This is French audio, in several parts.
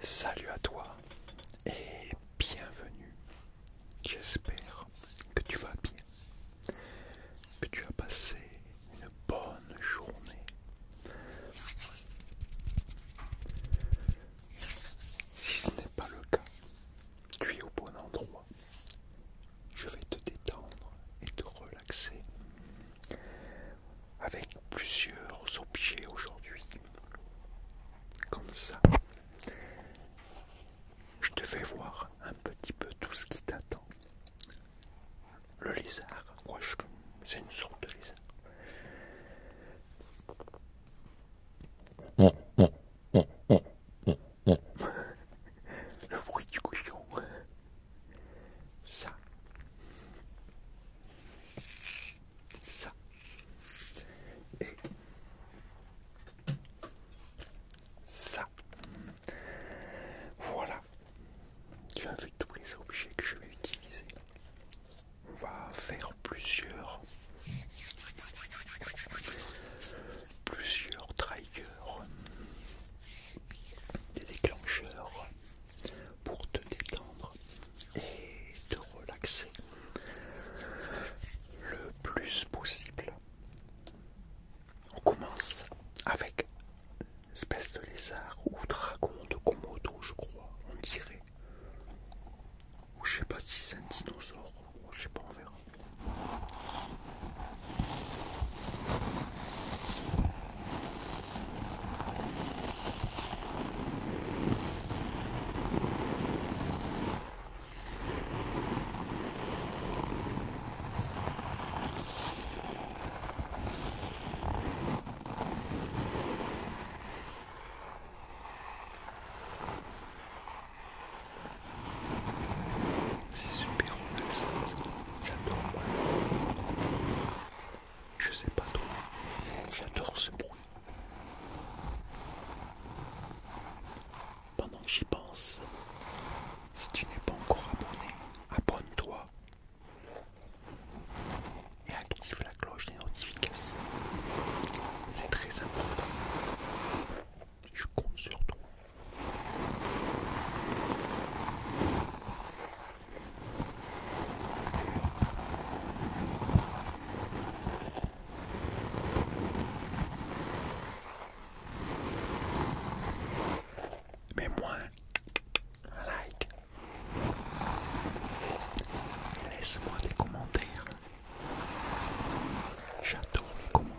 Salut à toi et bienvenue. J'espère que tu vas bien, que tu as passé une bonne journée. Si ce n'est pas le cas, tu es au bon endroit. Je vais te détendre et te relaxer avec plusieurs objets aujourd'hui. Comme ça, je te fais voir un petit peu tout ce qui t'attend. Le lézard, c'est une sorte de lézard. Le bruit du cochon ça, ça et ça. Voilà, tu as vu tous les objets que je vais utiliser. On va faire plusieurs plusieurs triggers, des déclencheurs pour te détendre et te relaxer le plus possible. On commence avec espèce de lézard ou dragon de Komodo, je crois, on dirait. Ou je sais pas si c'est un dinosaure, je sais pas, on verra. C'est super ça j'adore. Je sais pas trop j'adore ce bruit. Pendant que j'y pense, si tu n'es pas encore abonné, abonne-toi et active la cloche des notifications. C'est très important. Je compte sur toi. Mais moi, like, laisse-moi des commentaires. J'adore les commentaires.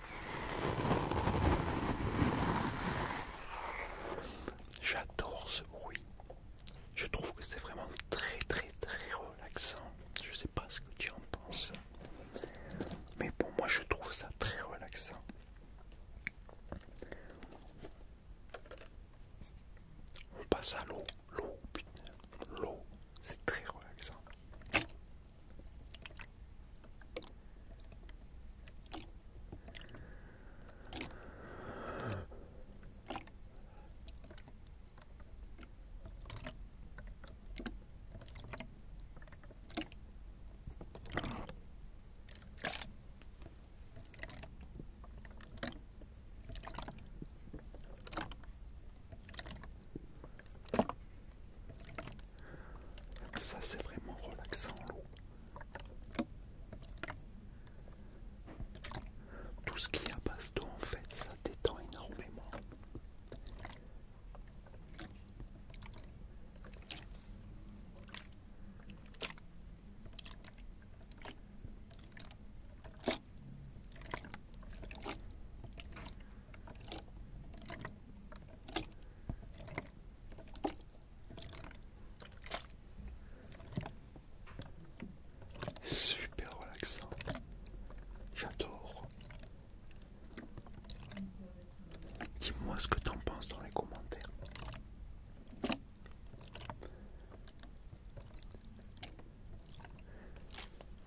J'adore ce bruit. Je trouve que c'est vraiment très très très relaxant. Je sais pas ce que tu en penses. Mais pour moi je trouve ça très relaxant. On passe à l'eau. L'eau, l'eau. C'est très relaxant. Ça c'est vraiment relaxant Tout ce qui est à d'eau en fait, ça détend énormément. Super relaxant. J'adore. Dis-moi ce que t'en penses dans les commentaires.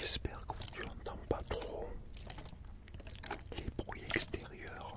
J'espère que tu n'entends pas trop les bruits extérieurs.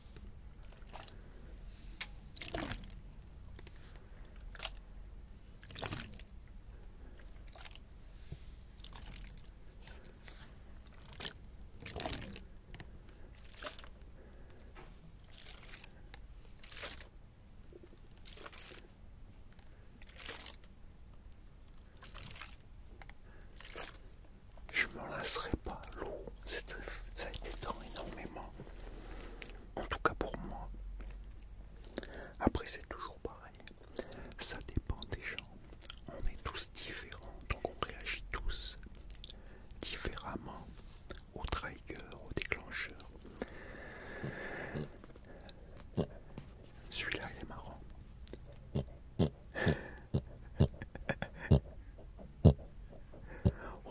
Je m'en lasserai pas, l'eau, ça été détend énormément en tout cas pour moi. Après c'est toujours pareil, ça dépend des gens, on est tous différents, donc on réagit tous différemment au triggers, au déclencheur. Celui-là il est marrant.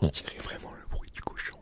On dirait vraiment le bruit du cochon.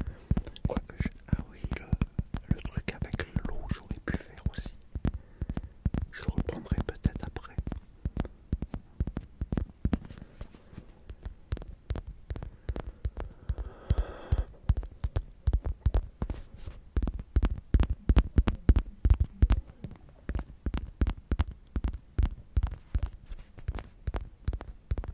Ah oui, le, truc avec l'eau, j'aurais pu faire aussi. Je reprendrai peut-être après.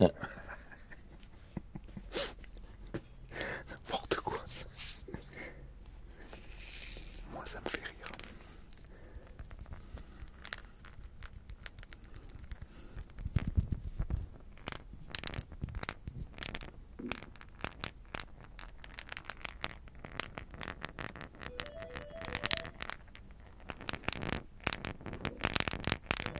Ouais. N'importe quoi. Moi ça me fait rire.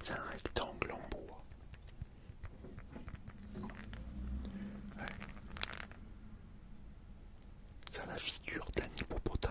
C'est un rectangle en bois. C'est Ça la figure d'un hippopotame.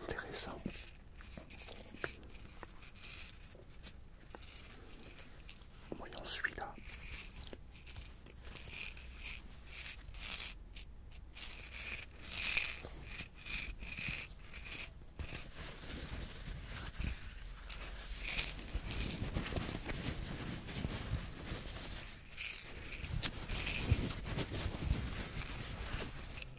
intéressant. Voyons celui-là.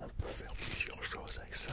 On peut faire plusieurs choses avec ça.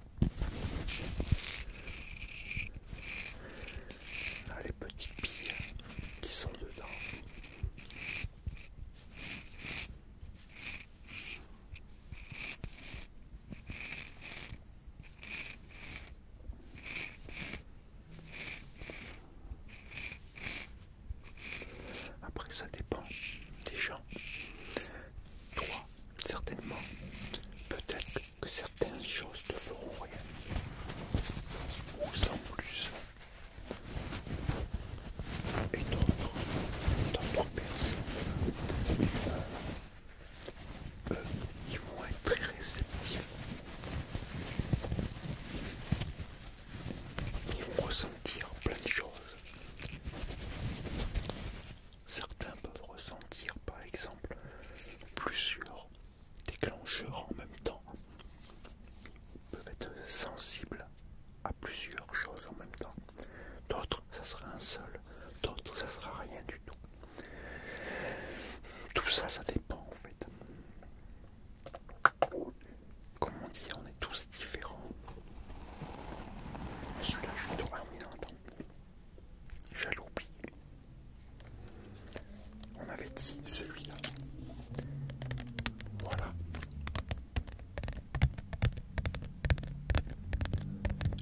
Ah, les petites billes qui sont dedans. Après, ça dépend des gens. Toi, certainement. Peut-être que certaines choses te feront rien. Ou sans plus. Et d'autres, d'autres personnes, eux, ils vont être très réceptifs. Ils vont ressentir plein de choses. Certains peuvent ressentir par exemple plusieurs déclencheurs en même temps, peuvent être sensibles à plusieurs choses en même temps. D'autres, ça sera un seul, d'autres, ça sera rien du tout. Tout ça, ça dépend en fait. Comme on dit, on est tous différents. Celui-là, j'ai oublié. On avait dit celui-là. Voilà.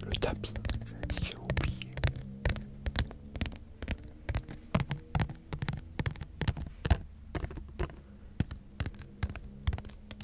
Le tapis, j'avais dit, j'ai oublié.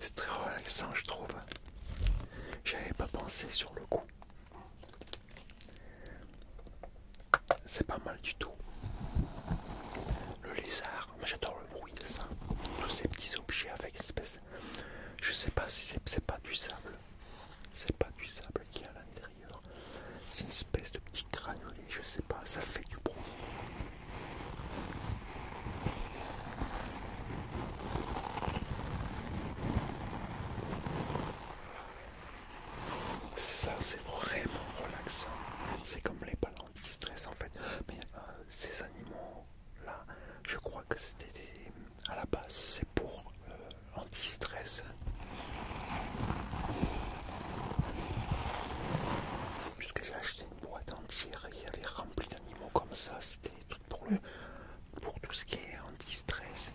C'est très relaxant, je trouve. J'avais pas pensé sur le coup. C'est pas mal du tout. Le lézard, j'adore le bruit de ça. Tous ces petits objets avec espèce. Je sais pas si c'est pas du sable. C'est pas du sable qui est à l'intérieur. C'est une espèce de petit granulé, je sais pas, ça fait du bruit. Ça c'est vraiment relaxant. C'est comme les balles anti-stress en fait. Mais euh, ces animaux là, je crois que c'était à la base c'est pour euh, anti-stress. Puisque j'ai acheté une boîte entière il y avait rempli comme ça, c'était tout pour, le, pour tout ce qui est en distress.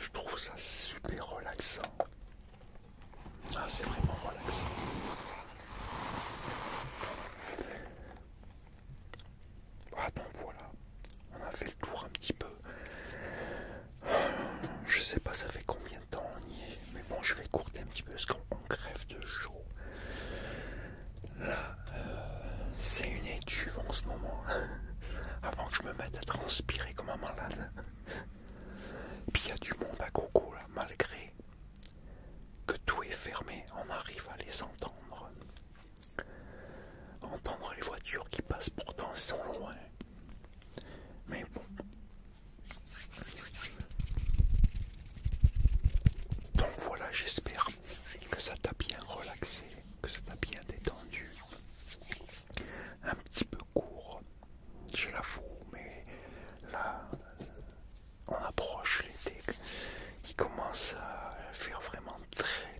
Je trouve ça super relaxant. Ah, c'est vraiment relaxant. Ah donc voilà, on a fait le tour un petit peu. Je sais pas ça fait combien de temps on y est, mais bon je vais courter un petit peu parce qu'on crève de chaud. Là, euh, c'est une étuve en ce moment. Hein. Avant que je me mette à transpirer comme un malade. Puis il y a du monde à coco là, malgré que tout est fermé, on arrive à les entendre. Entendre les voitures qui passent pourtant sont loin. Mais bon. Donc voilà, j'espère que ça t'a bien relaxé, que ça t'a bien détendu. Un petit peu court, je la fou mais là, on approche l'été. Il commence à faire vraiment très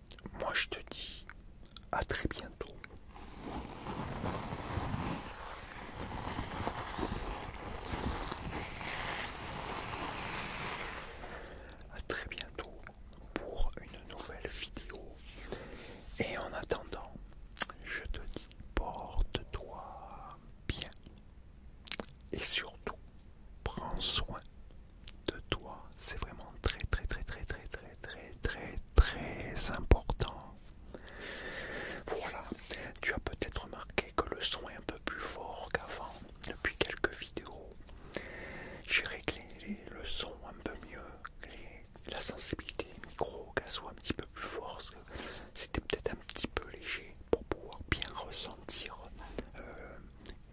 Moi je te dis à très bientôt. À très bientôt pour une nouvelle vidéo. Et en attendant, je te dis porte-toi bien. Et surtout, prends soin de toi, c'est vraiment très très très très très très très très très important. Voilà, tu as peut-être remarqué que le son est un peu plus fort qu'avant depuis quelques vidéos. J'ai réglé le son un peu mieux, la sensibilité micro micro qu'elle soit un petit peu plus forte. C'était peut-être un petit peu léger pour pouvoir bien ressentir euh,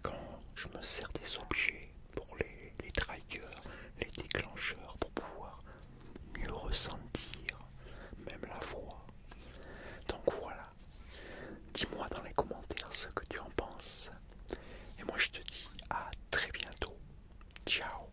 quand je me sers des objets pour les, les triggers, les déclencheurs, pour pouvoir mieux ressentir même la voix. Donc voilà, dis-moi dans les commentaires ce que tu en penses. Et moi je te dis à très bientôt. Ciao